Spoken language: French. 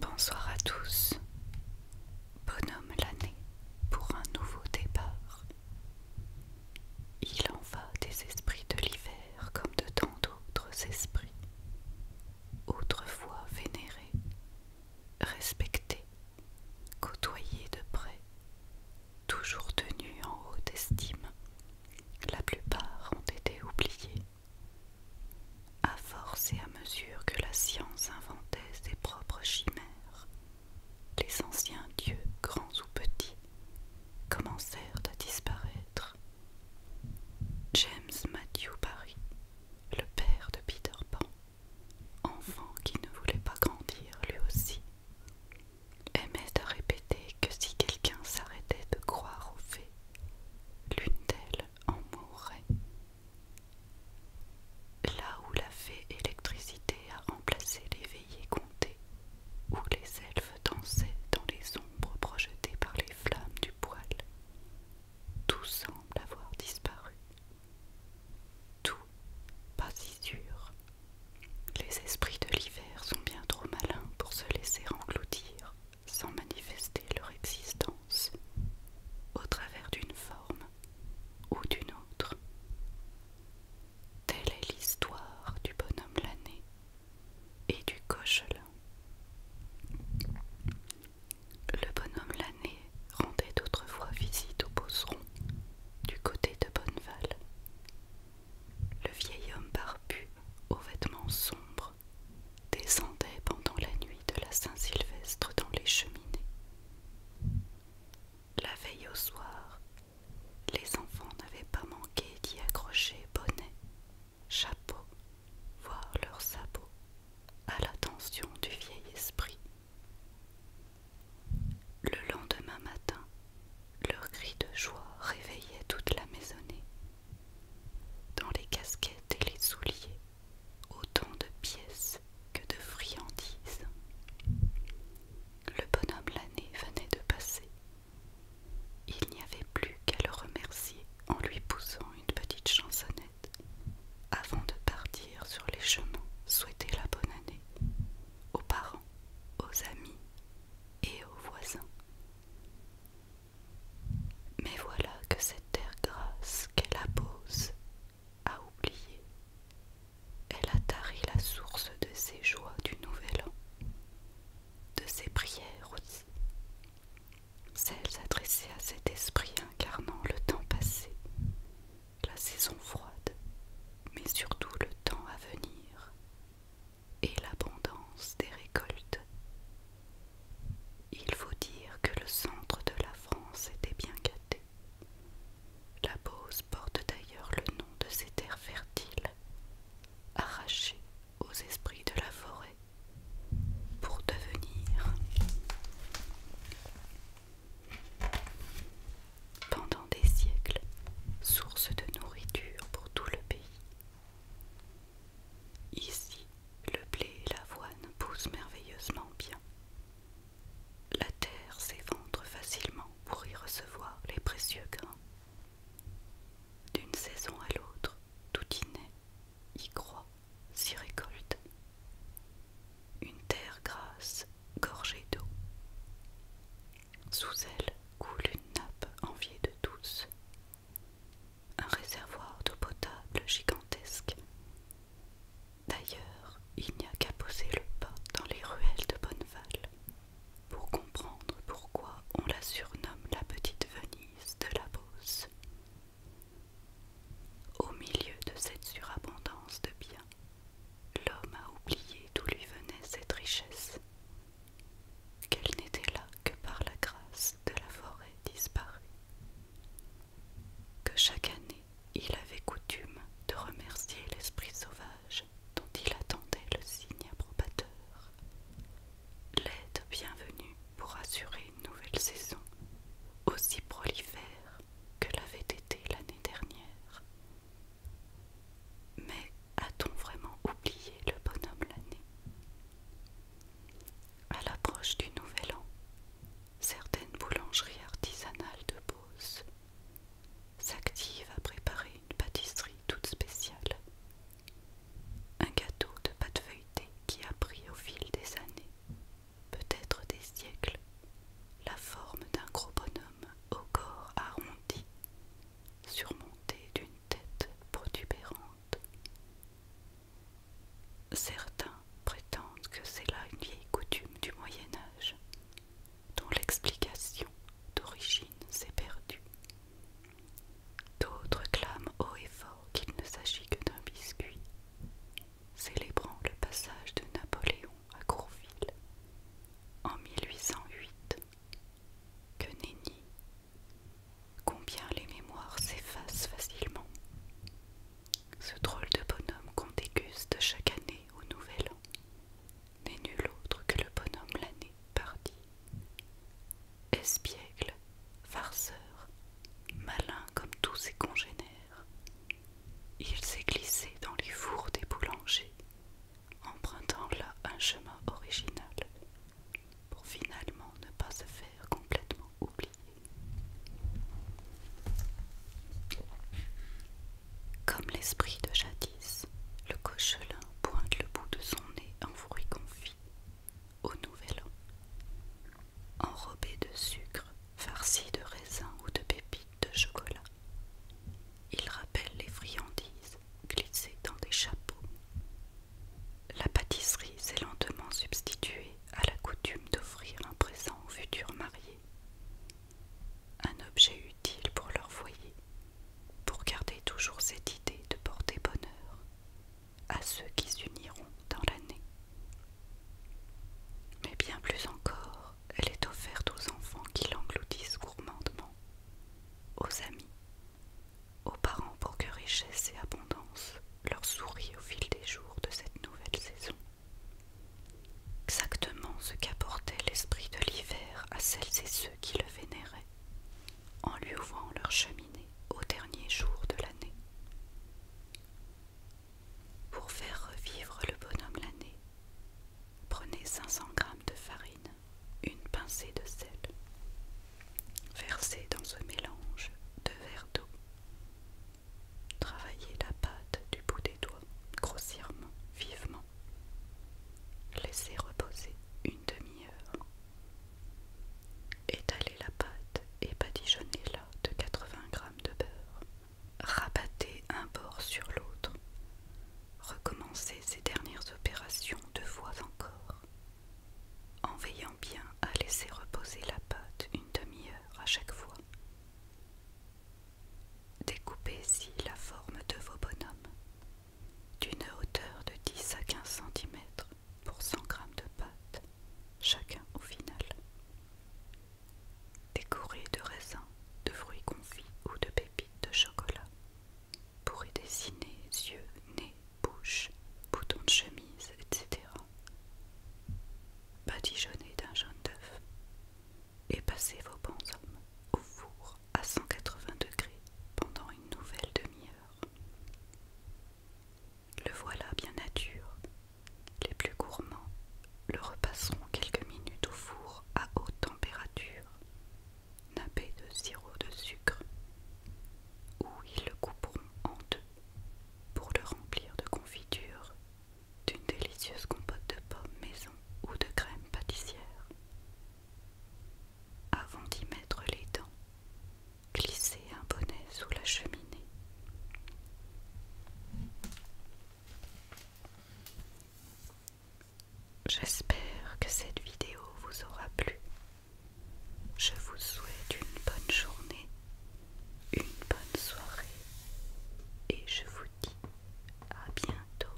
Bonsoir à tous, bonhomme l'année pour un nouveau départ. Il en va des esprits de l'hiver comme de tant d'autres esprits, autrefois vénérés, respectés, côtoyés de près, toujours tenus en haute estime, la plupart ont été oubliés. À force et à mesure que la science inventait ses propres chimères, les anciens dieux, grands ou petits, commencèrent à disparaître. James Matthew Barry, le père de Peter Pan, enfant qui ne voulait pas grandir lui aussi, aimait à répéter que si quelqu'un s'arrêtait de croire aux fées, l'une d'elles en mourrait. Là où la fée électricité a remplacé les veillées comptées, où les elfes dansaient dans les ombres projetées par les flammes du poêle, tout semble avoir disparu. Tout, pas si sûr, les esprits de l'hiver sont bien trop malins pour se laisser engloutir sans manifester leur existence au travers d'une forme ou d'une autre. Telle est l'histoire du bonhomme l'année et du Cochelin. Le bonhomme l'année rendait autrefois visite au Beauceron du côté de Bonneval le vieil homme barbu, aux vêtements sombres, descendait pendant la nuit de la Saint-Sylvestre dans les cheminées. La veille au soir, les enfants n'avaient pas manqué d'y accrocher bonnet, chapeau, voire leurs sabots, à l'attention du vieil esprit. Le lendemain matin, leur cri de joie réveillait toute la maisonnée. Dans les casquettes et les souliers, autant de pièces que de friandises. Le bonhomme l'année venait de passer. Il n'y avait plus qu'à le remercier en lui poussant une petite chansonnette avant de partir sur les chemins souhaiter la bonne année aux parents, aux amis et aux voisins. Mais voilà que cette terre grasse qu'elle appose a oublié. Elle a tari la source de ses joies du nouvel an, de ses prières aussi, celles adressées à cet esprit incarnant le temps passé, la saison froide, mais surtout le temps à venir et l'abondance des récoltes. Il faut dire que le centre de la France était bien gâté. La Beauce porte d'ailleurs le nom de ces terres fertiles, arrachées aux esprits de la forêt, pour devenir pendant des siècles, source de nourriture pour tout le pays. Ici, le blé et l'avoine poussent merveilleusement bien. La terre s'éventre facilement pour y recevoir les précieux grains. D'une saison à l'autre, tout y naît, y croît, s'y récolte une terre grasse gorgée d'eau. Sous elle coule une nappe enviée de douce. un réservoir d'eau potable gigantesque. D'ailleurs, il n'y a qu'à poser le pas dans les ruelles de Bonneval pour comprendre pourquoi on la surnomme la petite Venise de la Beauce. Au milieu de cette surabondance de biens, l'homme a oublié d'où lui venait cette richesse, qu'elle n'était là que par la grâce de la forêt disparue, que chaque année il avait coutume de remercier l'esprit sauvage dont il attendait le signe approbateur, l'aide bienvenue pour assurer une nouvelle saison aussi prolifère que l'avait été l'année dernière. Mais a-t-on vraiment oublié le bonhomme l'année À l'approche du Nouvel An, certaines boulangeries artisanales de Beauce s'activent à préparer une pâtisserie toute spéciale. Un gâteau de pâte feuilletée qui a pris au fil des années peut-être des siècles, la forme d'un gros bonhomme au corps arrondi, surmonté d'une tête protubérante. Certains prétendent que c'est là une vieille coutume du Moyen Âge, dont l'explication d'origine s'est perdue. D'autres clament haut et fort qu'il ne s'agit que d'un biscuit, célébrant le passage de Napoléon à Courville en 1808 que nenni combien les mémoires s'effacent facilement. Ce drôle de bonhomme qu'on déguste chaque année au Nouvel An n'est nul autre que le bonhomme l'année partie, Espiègle, farceur, malin comme tous ses congénères, il s'est glissé dans les fours des boulangers, empruntant là un chemin original, pour finalement ne pas se faire complètement oublier. Comme l'esprit de jadis, le cochelin pointe le bout de son nez en fruit confit au nouvel an. Enrobé de sucre, farci de raisin ou de pépites de chocolat. Il rappelle les friandises glissées dans des chapeaux. La pâtisserie s'est lentement substituée à la coutume d'offrir un présent au futur marié, Un objet utile pour leur foyer, pour garder toujours cette idée de porter bonheur à ceux qui s'uniront dans l'année mais bien plus encore, elle est offerte aux enfants qui l'engloutissent gourmandement, aux amis, aux parents pour que richesse et abondance leur sourient au fil des jours de cette nouvelle saison. Exactement ce qu'apportait l'esprit de l'hiver à celles et ceux qui le vénéraient, en lui ouvrant leur cheminée au dernier jour de l'année. Pour faire revivre le bonhomme l'année, prenez 500 g de farine, une pincée de sel. Versez dans ce mélange de verres d'eau. Travaillez la pâte du bout des doigts, grossièrement, vivement. Laissez reposer une demi-heure. Étalez la pâte et badigeonnez-la de 80 g de beurre rabattez un bord sur l'autre, recommencez ces dernières opérations deux fois encore, en veillant bien à laisser reposer la pâte une demi-heure à chaque fois. Découpez ici la forme de vos bonhommes, d'une hauteur de 10 à 15 cm pour 100 grammes de pâte, chacun au final. Décourez de raisins, de fruits confits ou de pépites de chocolat. Pour y dessiner yeux, nez, bouche, boutons de chemise, etc. Badigeonnez d'un jaune d'œuf et passez vos bonshommes au four à 180 degrés pendant une nouvelle demi-heure. Le voilà bien nature. Les plus gourmands le repasseront quelques minutes au four à haute température, nappé de sirop de sucre, où ils le couperont en deux pour le remplir de confiture, d'une délicieuse compote de pommes maison ou de crème pâtissière. Avant d'y mettre les dents, glissez un bonnet sous la cheminée. J'espère que cette vidéo vous aura plu. Je vous souhaite une bonne journée, une bonne soirée et je vous dis à bientôt.